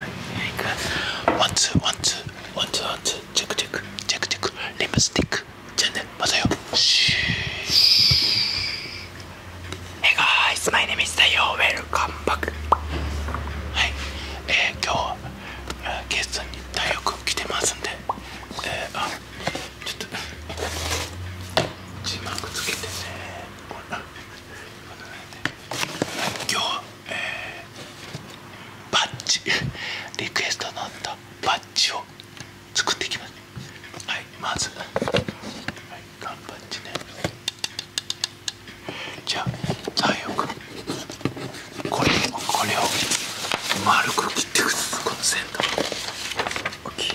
ワンツーワンツーワンツーワンツーチェックチェックチェックチェックリップスティックじゃあねまたよー Hey guys my name is Tayo w e l はい、えー、今日はゲストに大学来てますんでえー、あちょっと字幕つけてねこれ今日、えバッジリクエストのあったバッジを作っていきますはいまずはい缶バッジねじゃあ最後。かこれをこれを丸く切っていくこの先端大きい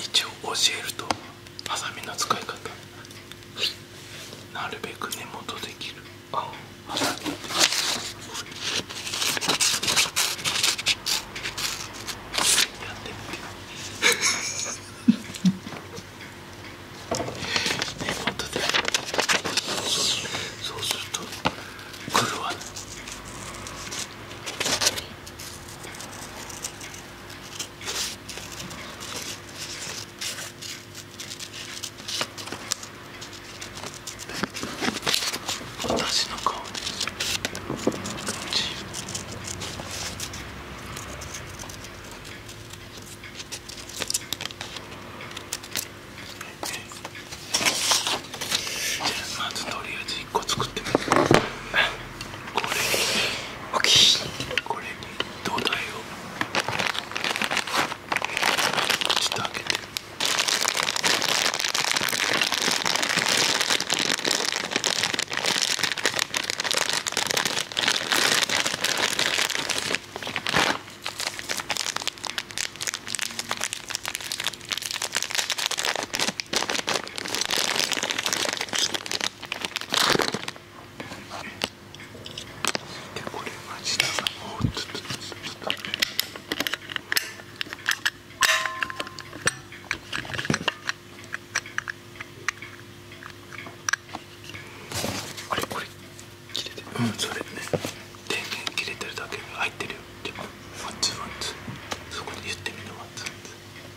一応教えるとハサミの使い方、なるべく根元できるあ根元でそうすると狂わな私の顔じゃあ、まずとりあえず1個作ってみるこれにこれに土台をちょっとてでこれは下がもうずっとずっとずっとあれこれ切れてるそれね電源切れてるだけ入ってるよでワンツーワンツそこに言ってみるワンツワンツ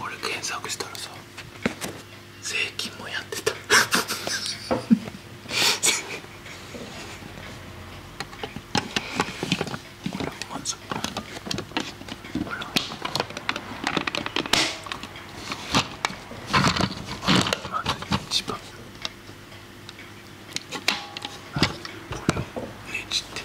俺検索したらさ税金もやってたこれまずほらまず一番これをねじって。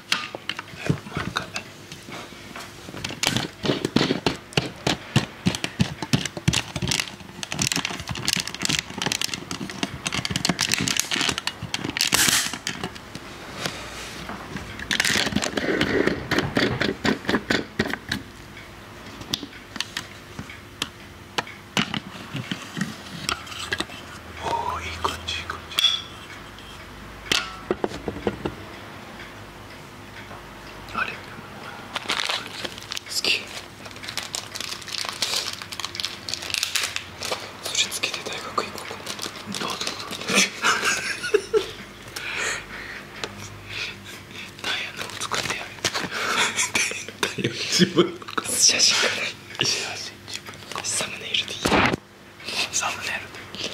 おいい感じいい感じあれ好きそれつけて大学行こうの作ってや 写真からサムネイルでいいサムネイルで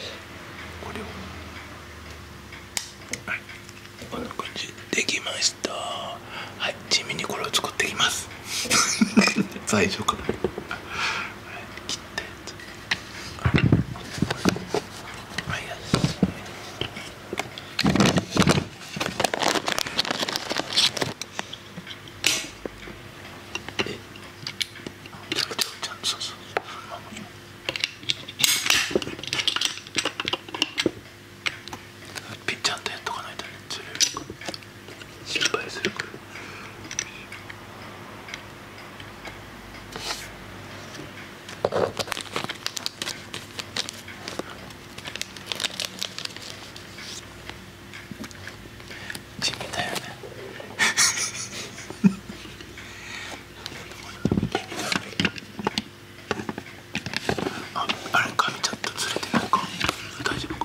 これをはいこんな感じできましたはい地味にこれを作っていきます最初からはい切ったやつはいよしえっめちゃくちゃおちゃんとさそうピッちゃんとやっとかないとねつれるか心配するかうん地味だよねああれ髪ちょっとずれてないか大丈夫か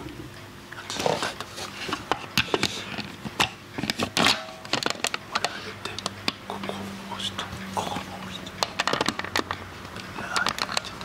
これ上げてここを押してここを押してはいちょっと。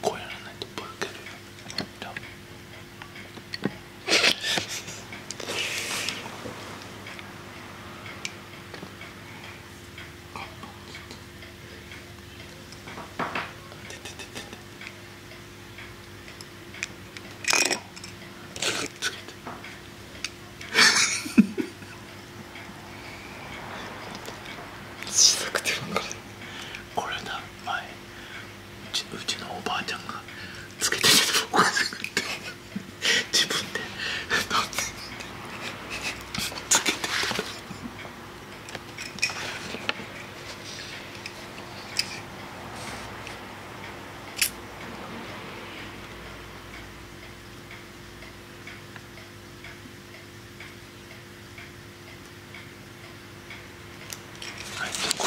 こうやらないとボロけるよ。しなくてもこれこれな前うちのおばあちゃんがつけてて自分でつけてはいこ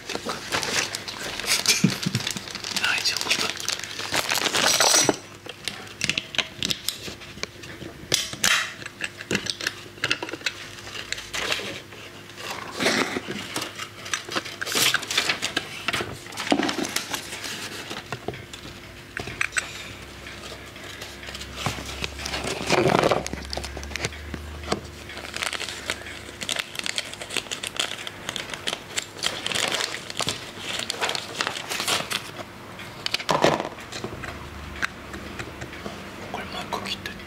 大丈夫これマーク切っいて。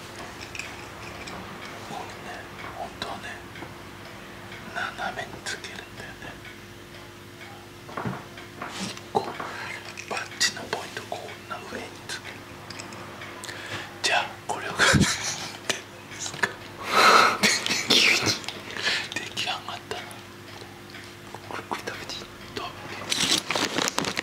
こうね本当はね斜めにつけるんだよねこうバッチのポイントこんな上につけるじゃあこれを買ってですか急に出来上がったなこれこれ食べていい食べて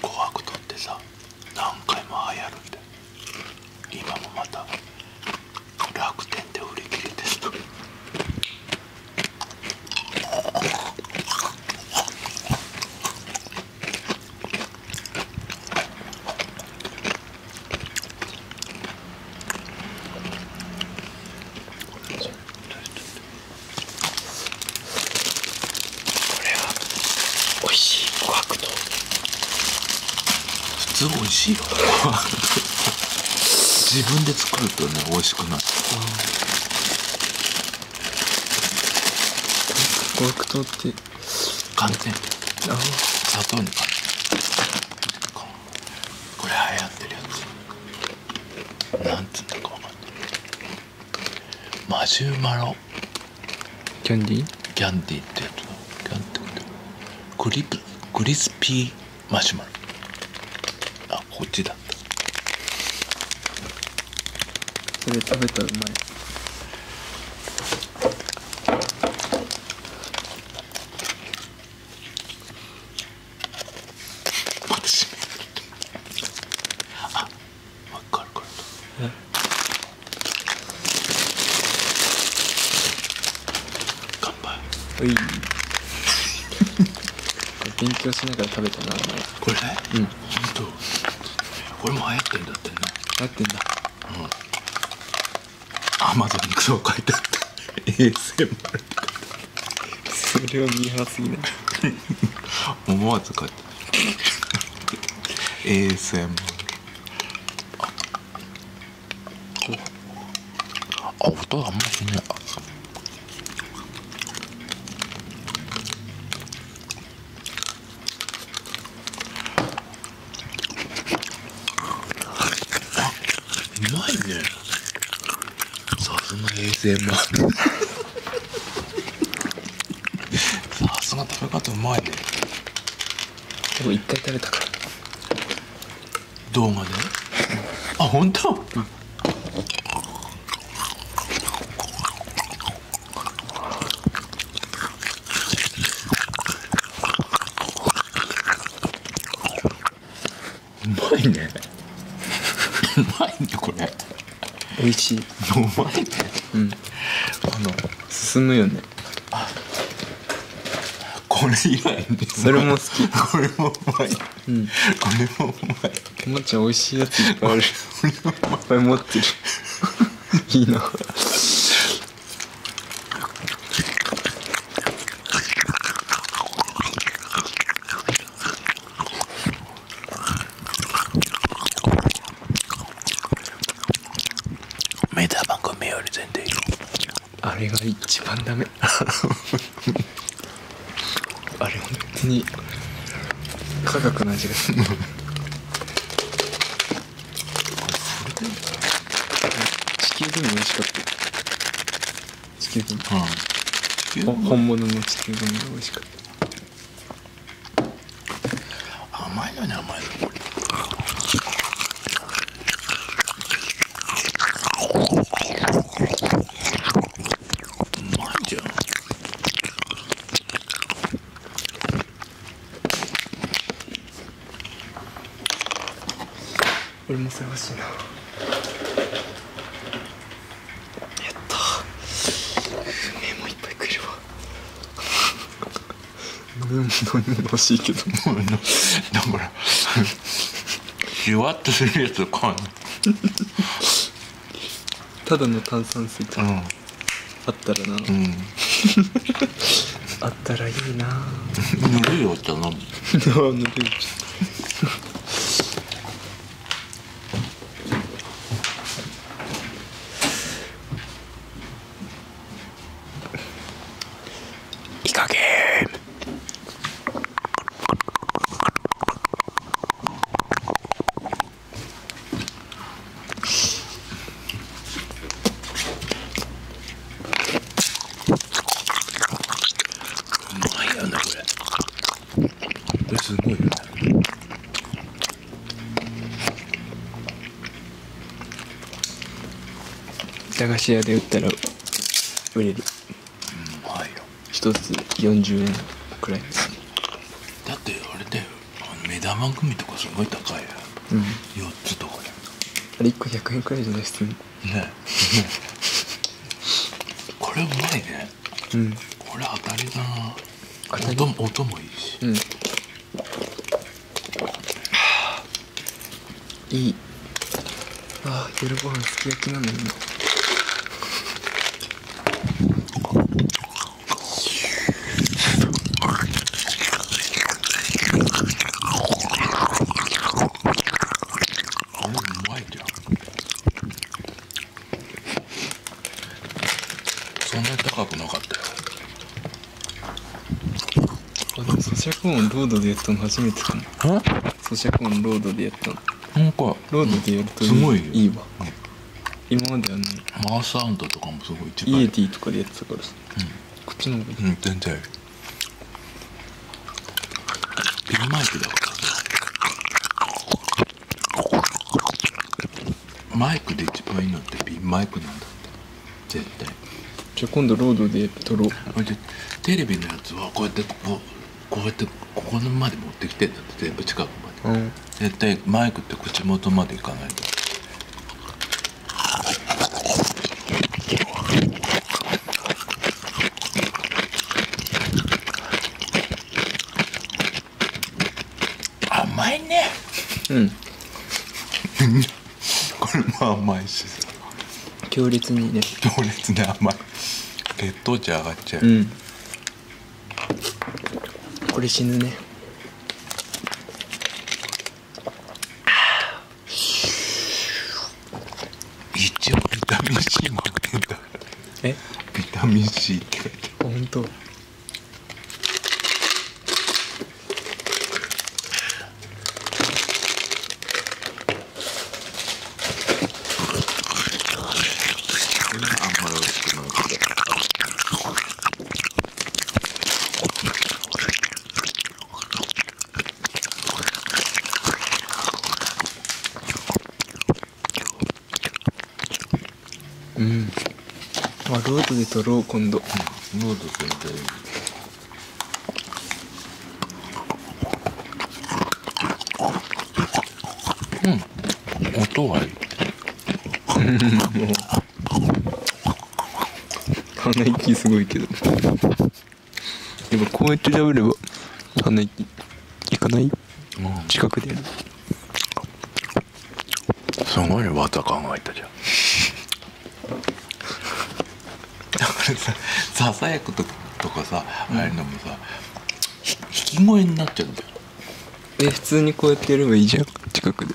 紅白とってさ何回も流行るんで今もまた楽天で売り切れてると。美味しい琥珀糖普通美味しいよ 自分で作るとね美味しくなる琥珀糖って完寒天砂糖の寒天これ流行ってるやつなんつうんだか分かんないマシュマロキャンディーキャンディーってやつだ。キャンディーっクリプクリスピーマシュマロあこっちだったそれ食べたらうまいあっかるかるう乾杯うい 勉強しながら食べたなこれうん本当こも流行ってんだってね流行ってんだアマゾンにクソを書いてあった ASMR それを見張すぎない思わず書いて ASMR あ音あんましねうまいねさすが ASMR さすが食べ方うまいねでも一回食べたから動画であ本当、うんうまいねうまいねこれ美味しいうまいうんあの進むよねあこれ以外それも好きこれもうまい、うん、これもうまいもっち美味しいある いっぱい持ってる いいなメタ番組より全然いいあれが一番ダメ あれ本当に科学の味がするそれでも地球でも美味しかった地球でもあ地球本物の地球でも美味しかった甘いのね、甘いのこれうまいじゃ俺も探しいなやったメモいっぱい食るわ俺 も何も欲しいけどもうだから じわ ただの炭酸水うんあったらな、うん、あったらいいなあ、ぬるいお茶飲むぬるいお茶うまいよな、これこれすごいよね駄菓子屋で売ったら売れるうまいよ一つ40円くらいだってあれだよ目玉組とかすごい高いよ、うん、4つとかであれ1個100円くらいじゃないっすかねね これうまいね、うん、これ当たりだな音も音もいいし、うん、いいああ夜ご飯すき焼きなのになそんなに高くなかったよ咀嚼音ロードでやったの初めてかも咀嚼音ロードでやったのなんかロードでやるとすごいいわ、今まではねマーサウンドとかもすごいいイエティとかでやってたからさ、こっちの方がうん全然ピンマイクだマイクで一番いいのってピンマイクなんだって絶対じゃあ今度ロードで撮ろうテレビのやつはこうやってこうこうやってここのまで持ってきてんだって全部近くまで、絶対マイクって口元までいかないと甘いねうんこれも甘いし強烈にね強烈に甘い血糖値上がっちゃう、うん、これ死ぬね一応ビタミン C も入ってビタミン C って書いてあるほんとうんあロードで撮ろう今度ロード撮りたいうん音はいい鼻息すごいけどでもこうやって喋れば鼻息いかない近くでやるすごいね技考えたじゃんだからさささやくととかさ、うん、あれのもさひ。き声になっちゃうんだよえ普通にこうやってやればいいじゃん近くで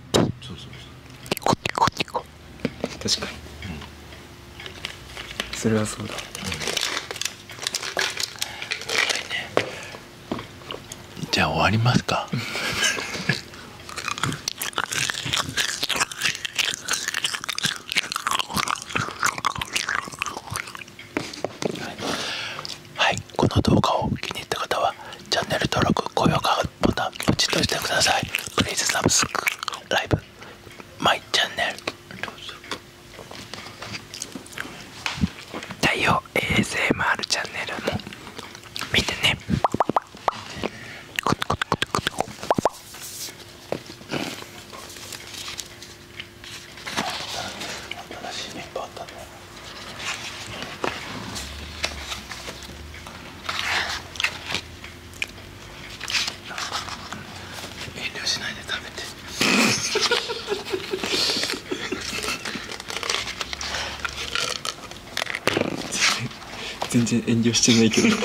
そうそうティコティコティコ確かに、うん、それはそうだ、うん、じゃあ終わりますかはい、この動画を気に入った方はチャンネル登録高評価ボタンポチッとしてくださいクリーズサブスクライブマイチャンネル太陽 ASMR チャンネルも見てね新しいメンバーあったね遠慮しないで食べて 全然遠慮してないけど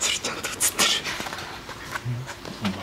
それちゃんと映ってるま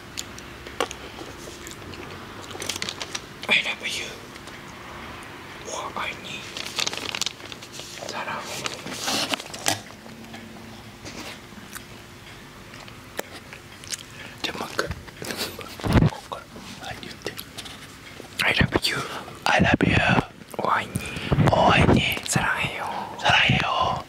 I never knew what I need. Ta-da! I love you. I love you. Oh, I need. Oh, I need. 사랑해요. 사랑해요.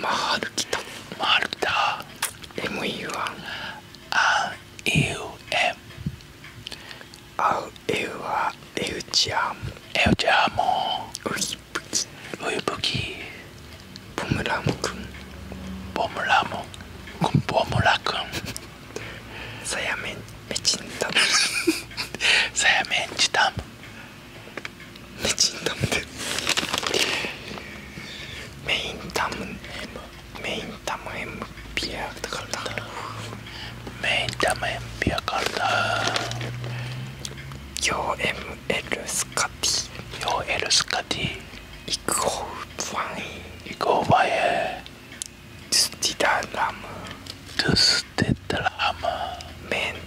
回るきた回るきた MU は RUM 合うエウはエウチアムエウチアムウイブキウイブキボムラムくんボムラムくんボムラくんさやめんめちんたむさやめんちたむメチンダムでメインダムメインダムエムピアカルタメインダムエムピアカルタ 4ML スカティ 4L スカティイクホーファインイクホーファイントゥスティダラムトゥスティダラムメン